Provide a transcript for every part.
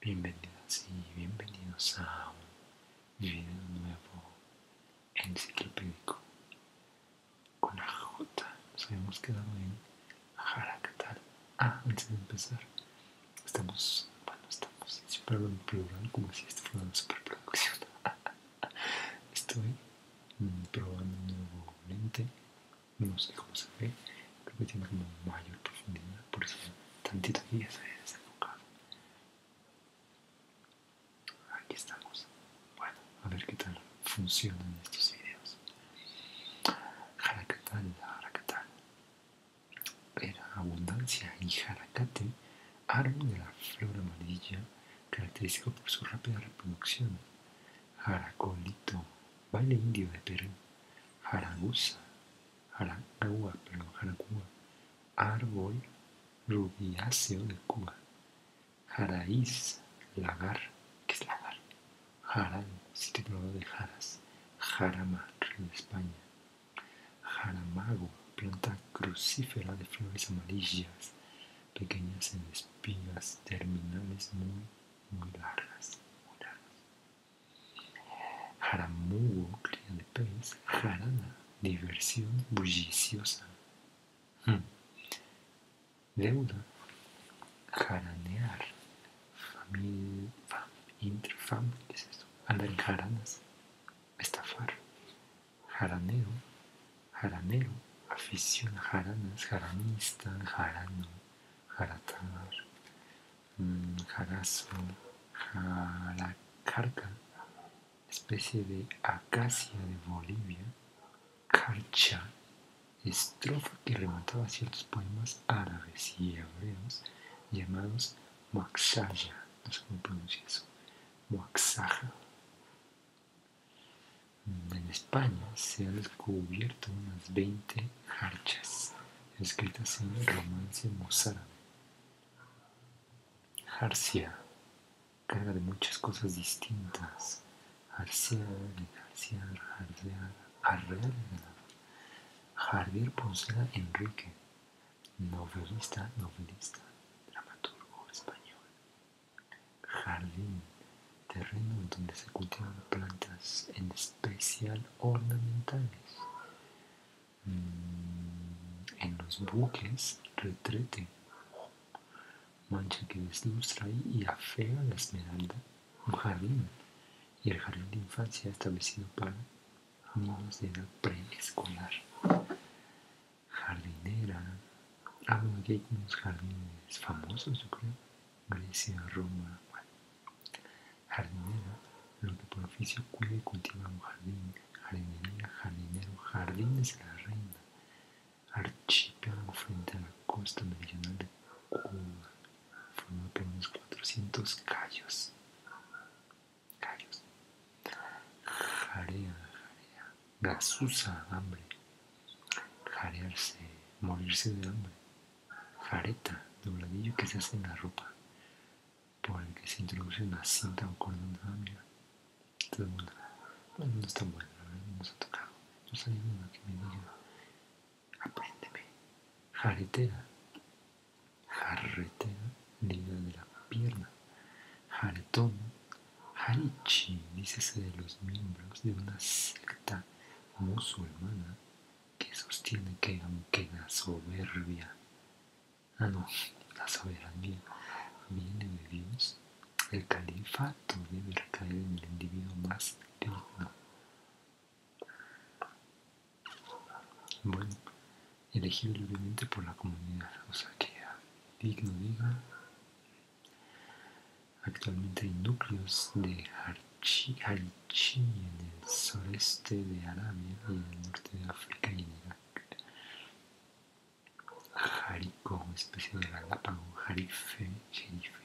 Bienvenidos y bienvenidos a un video nuevo enciclopédico con la J. Nos habíamos quedado en jara ¿qué tal? Ah, antes de empezar, estamos, bueno, estamos, siempre en plural, como si esto fuera una superproducción. Estoy mm, probando un nuevo lente, no sé cómo se ve, creo que tiene como mayor profundidad, por eso tantito aquí se desenfocado. Aquí estamos. Bueno, a ver qué tal funcionan estos videos la jaracatal. Era abundancia y jaracate, árbol de la flor amarilla, característico por su rápida reproducción. jaracolito, baile indio de Perú. Jaraguza Jaracua perdón, Jaragua. árbol rubiáceo de Cuba. Jaraís, lagar, que es lagar, se de Jaras, Jarama, río de España. Jaramago, planta crucífera de flores amarillas, pequeñas en espinas terminales muy, muy largas. Muy largas. Jaramugo, cría de pez, jarana, diversión bulliciosa. Hmm deuda, jaranear, familia, interfam, es en jaranas, estafar, jaraneo, jaranero, afición a jaranas, jaranista, jarano, jaratar, mm, jarazo, jaracarca, especie de acacia de Bolivia, Carcha, estrofa que remataba ciertos poemas árabes y hebreos llamados Maxaya, no sé cómo pronuncia eso, Maxaja. En España se han descubierto unas 20 jarchas escritas en romance mozárabe. Jarcia, carga de muchas cosas distintas, Arceal, Arceal, Arreal, Arreal Javier Poncela Enrique, novelista, novelista, dramaturgo español. Jardín, terreno donde se cultivan plantas, en especial ornamentales. Mm, en los buques, retrete mancha que deslustra este y afea la esmeralda un jardín, y el jardín de infancia establecido para niños de edad preescolar. Jardinera, hablo ah, aquí hay unos jardines famosos, yo creo, Grecia, Roma, bueno. Jardinera, lo que por oficio cuida y cultiva un jardín, jardinería, jardinero, jardines de la reina, archipiélago frente a la costa meridional de Cuba, formado por unos 400 callos. Callos. Jarea, jarea. Gasusa, hambre. Jarearse, morirse de hambre. Jareta, dobladillo que se hace en la ropa, por el que se introduce una cinta o cordón de hambre. Está bueno. no está bueno, no nos ha tocado. No salí nada que me diga Apréndeme. Jarretera. Jarretera, liga de la pierna. Jaretón. Harichi, dícese de los miembros de una secta musulmana que sostiene que aunque la soberbia, ah no, la soberbia, viene de Dios, el califato debe recaer en el individuo más digno. Bueno, elegido libremente por la comunidad, o sea que digno diga. Actualmente hay núcleos de harichi en el sureste de Arabia en el norte de África y en Irak. especie de galápago, jarife, jerife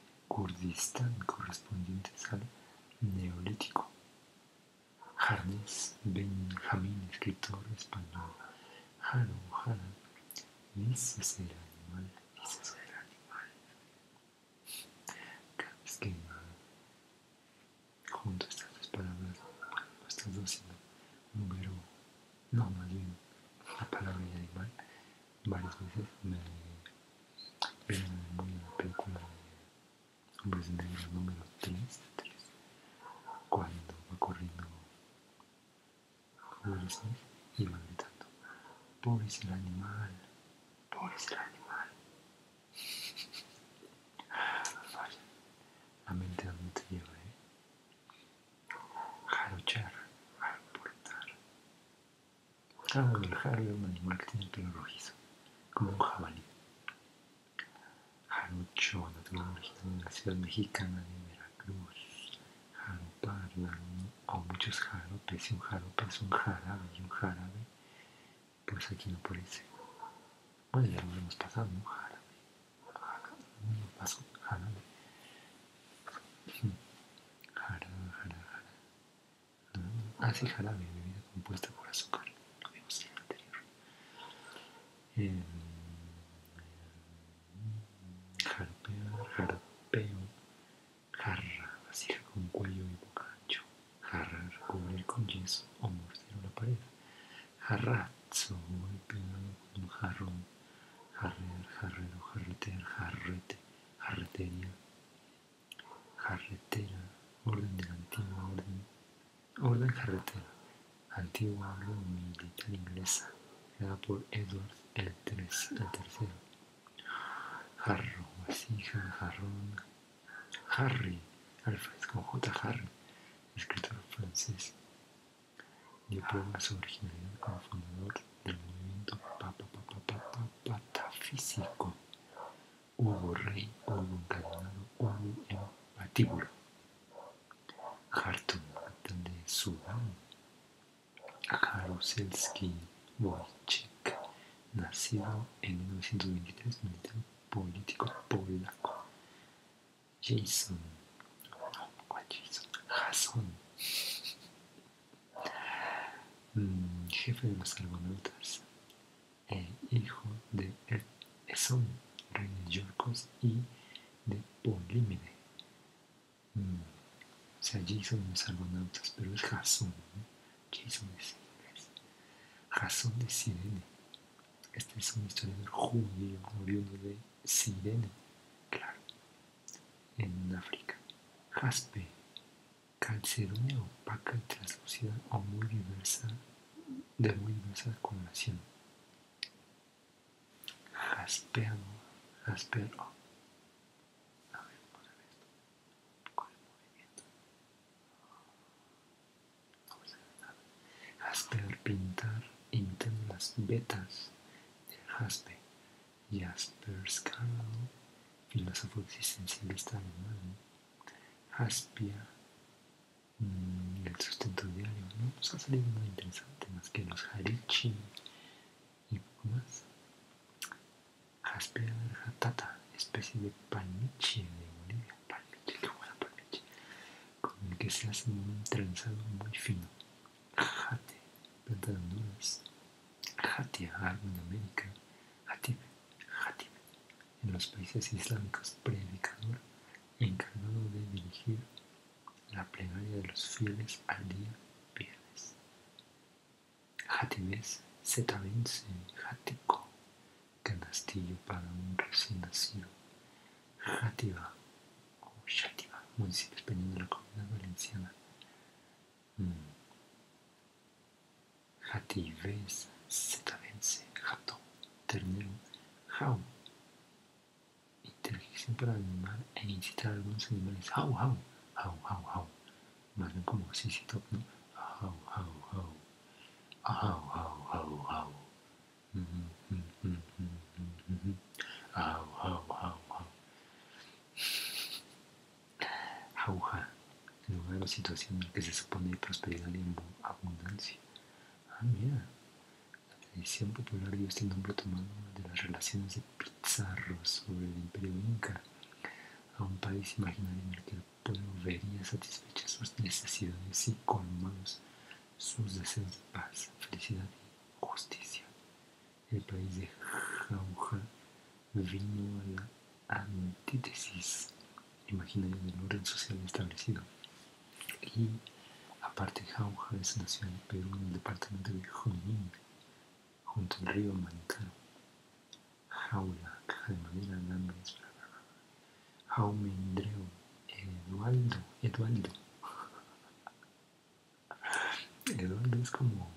Kurdistán correspondiente al Neolítico. Jarnes Benjamín, escritor español. Jaro, Jara, dice ser animal, es ser animal. Cada que junto estas dos palabras, estas dos, número, no, más bien, la palabra animal, varias veces me vieron eh, en la película de Hombres Negros número 3, 3 cuando va corriendo Will Smith y va gritando pobre es el animal pobre es el animal Vaya, la mente a donde te lleva ¿eh? jarochar, aportar. Hago del jaro un animal que tiene el pelo rojizo, como un jabalí. Jarocho, natural mexicano en la ciudad mexicana de Veracruz. Jaropar, dar o muchos jaropes, y un jarope es un jarabe, y un jarabe, pues aquí no parece. Bueno, ya lo hemos pasado, ¿no? Jarabe, jarabe, ah, no pasó, jarabe. Jara, jara, jara. así Ah, bebida compuesta por azúcar. Lo vimos en el anterior. Eh, jarra, con cuello y boca ancho. Jarrar, cubrir con yeso o morcero la pared. Jarrazo, con jarrear, jarrero, jarretear, jarrete, jarretería, jarretera, orden de antigua orden, orden jarretera, antigua orden militar inglesa, creada por Edward el, tres, el tercero. Jarro, vasija, jarrón, Harry, Alfred con J. Harry, escritor francés, dio prueba su originalidad como fundador del movimiento patafísico. Hubo rey, hubo encadenado, hubo en patíbulo. Hartung, de Sudán. Jaruzelski Wojciech, nacido en 1923, militar político polaco Jason. No, ¿cuál Jason? Jason. Mm, jefe de los argonautas. hijo de Eson, rey de Yorkos y de Polímede. Mm, o sea, Jason de los argonautas, pero es Jason. Jason es inglés. Jason de Sirene. Este es una historia del judío oriundo de Sirene. Claro, en África. Jaspe, calcedonia opaca y translúcida o muy diversa, de muy diversa acumulación Jaspeado, jaspero. A esto. Con movimiento. pintar, internas, betas Jaspe, Jasper Karl, filósofo existencialista alemán, Jaspia, mm, el sustento diario, no nos pues ha salido nada interesante más que los Harichi y poco más. Jaspia jatata, especie de panichi de Bolivia, panichi qué buena panichi, con el que se hace un trenzado muy fino Jati, planta de Honduras, Jati, algo en América, en los países islámicos, predicador encargado de dirigir la plegaria de los fieles al día viernes. Jatibes, Zetabense, Jatico, canastillo para un recién nacido. Jatiba, Xativa, municipio español de la Comunidad Valenciana. Mm. Jativés, Zetavense, Jato, Ternero, Jau. Interjección para animar e incitar a algunos animales. Jau, jau, jau, jau, jau. Más bien como si se Jau, jau, jau. Jau, jau, jau, jau. Au, au, au, au. en lugar la situación en la que se supone prosperidad y abundancia. Ah, mira. La tradición popular dio este nombre tomado de las relaciones de Pizarro sobre el imperio inca a un país imaginario en el que el pueblo vería satisfechas sus necesidades y colmados sus deseos de paz, felicidad justicia. El país de Jauja vino a la antítesis imaginaria el orden social establecido. Y aparte Jauja es una ciudad Perú en el departamento de Junín, junto al río Mantaro. Jaula, caja de madera, alambres, Eduardo, Eduardo, Eduardo es como...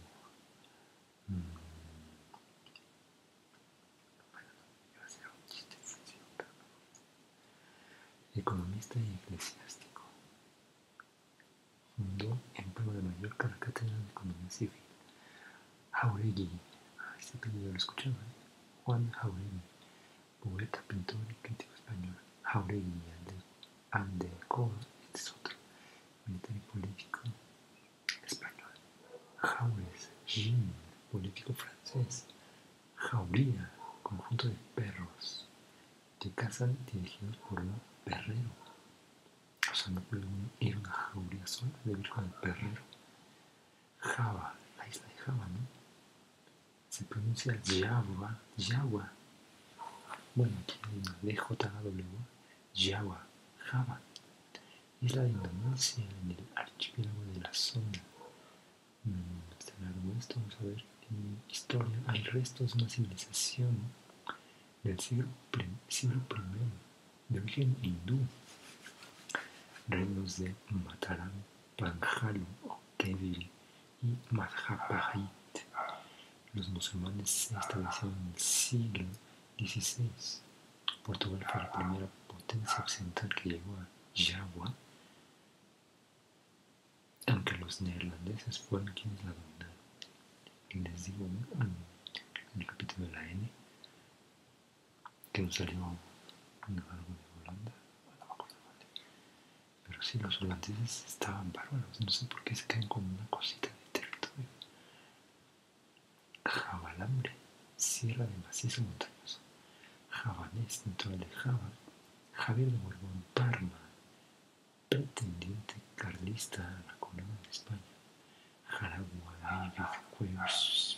Mmm, economista y eclesiástico. Fundó en Pueblo de Mallorca la Cátedra de Economía Civil. Jauregui, ah, este apellido lo escuchaba, ¿eh? Juan Jauregui, poeta, pintor y crítico español. Jauregui Andelcoa, este es otro, militar y político español. Jaures, Jean, político francés. Jauría, conjunto de perros que cazan dirigidos por un perrero. O sea, no puede ir a una jauría sola, debe ir con el perrero. Java, la isla de Java, ¿no? se pronuncia Yawa, Yawa. Bueno, aquí hay una DJW, Yawa, Java. es la Indonesia, en el archipiélago de la zona. en mm, está vamos a ver. historia, hay restos de una civilización del siglo, siglo primero de origen hindú. Reinos de Mataram, o débil y Madhaparit. Los musulmanes se establecieron en el siglo XVI. Portugal fue la primera potencia occidental que llegó a Java, aunque los neerlandeses fueron quienes la dominaron. Les digo en el capítulo de la N que nos salió un algo de Holanda, pero sí, los holandeses estaban bárbaros. No sé por qué se caen como una cosita de territorio. Jabalambre, sierra de macizo montañoso. Javanés, natural de Java. Javier de Borbón, Parma. Pretendiente carlista a la corona de España. Jaragua, Cuevas,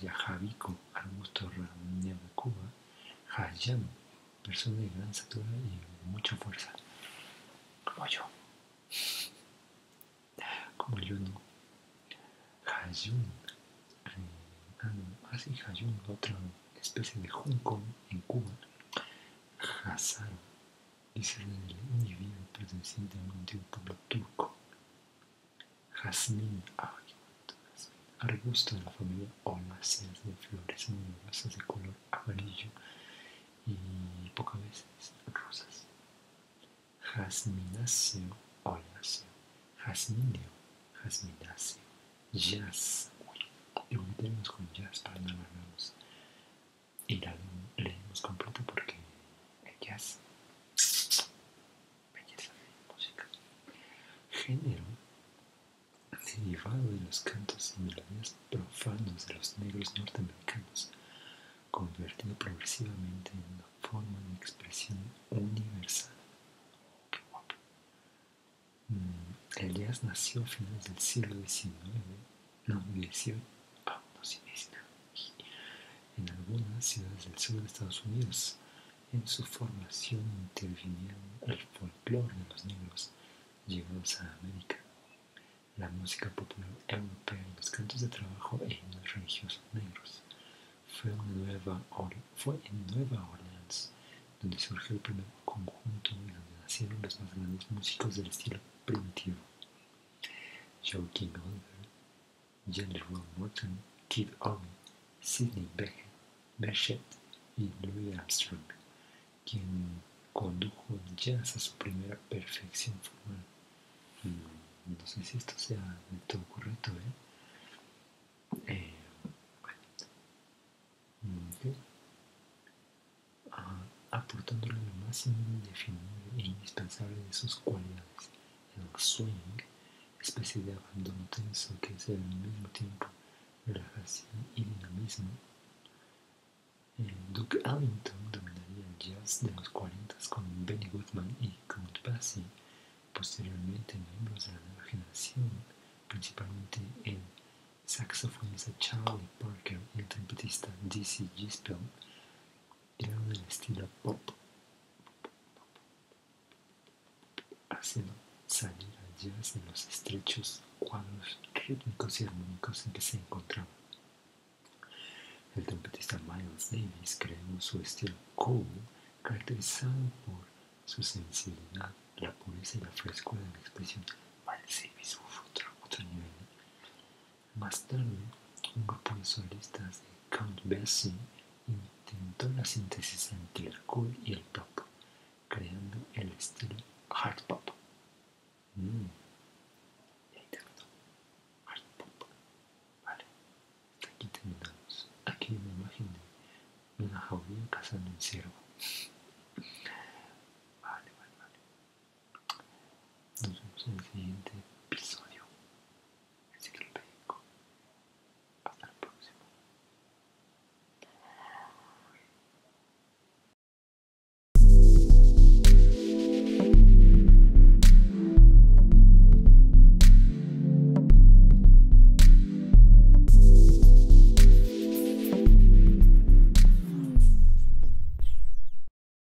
Jajabico, arbusto ramero de Cuba. Hayan, persona de gran satura y mucha fuerza. Como yo. Como yo no. Hayun. Ah, no. Así Hayun, otra especie de junco en Cuba. Hazaro. es el individuo perteneciente a un antiguo pueblo turco. Jazmín, Arbusto de la familia Oláceas de flores amorosas de color amarillo y pocas veces rosas. Jazmináceo, oláceo, jasmineo, jazmináceo, jazz. Y lo tenemos con jazz para no Y la leemos completo porque el Belleza de música. Género derivado de los cantos y melodías profanos de los negros norteamericanos, convertido progresivamente en una forma de expresión universal. Mm, el jazz nació a finales del siglo XIX, no, XVIII, ah, no, XIX en algunas ciudades del sur de Estados Unidos, en su formación intervinieron el folclore de los negros llegados a América, la música popular europea y los cantos de trabajo e los religiosos negros. Fue en, Nueva Orleans donde surgió el primer conjunto y donde nacieron los más grandes músicos del estilo primitivo. Joe Jenny Morton, Kid Owen, Sidney Bechet y Louis Armstrong, quien condujo jazz a su primera perfección formal. No, sé si esto sea de todo correcto, ¿eh? eh mm, ah, aportándole lo más indefinible e indispensable de sus cualidades el swing, especie de abandono tenso que es al mismo tiempo relajación y dinamismo. Duke Ellington dominaría el jazz de los 40 con Benny Goodman y Count Basie, posteriormente miembros de la imaginación, principalmente el saxofonista Charlie Parker y el trompetista D.C. Gispel y estilo pop, haciendo salir al jazz en los estrechos cuadros rítmicos y armónicos en que se encontraba. El trompetista Miles Davis creó su estilo cool, caracterizado por su sensibilidad, la pureza y la frescura de la expresión. Miles Davis, uff, otro nivel. Más tarde, un grupo de solistas de Count Bessie intentó la síntesis entre el cool y el pop, creando el estilo hard pop. Mm. Y ahí terminó. Vale. aquí terminamos. Aquí hay una imagen de una jaula cazando un ciervo. Vale, vale, vale. Nos vemos en el siguiente episodio enciclopédico. Hasta el próximo.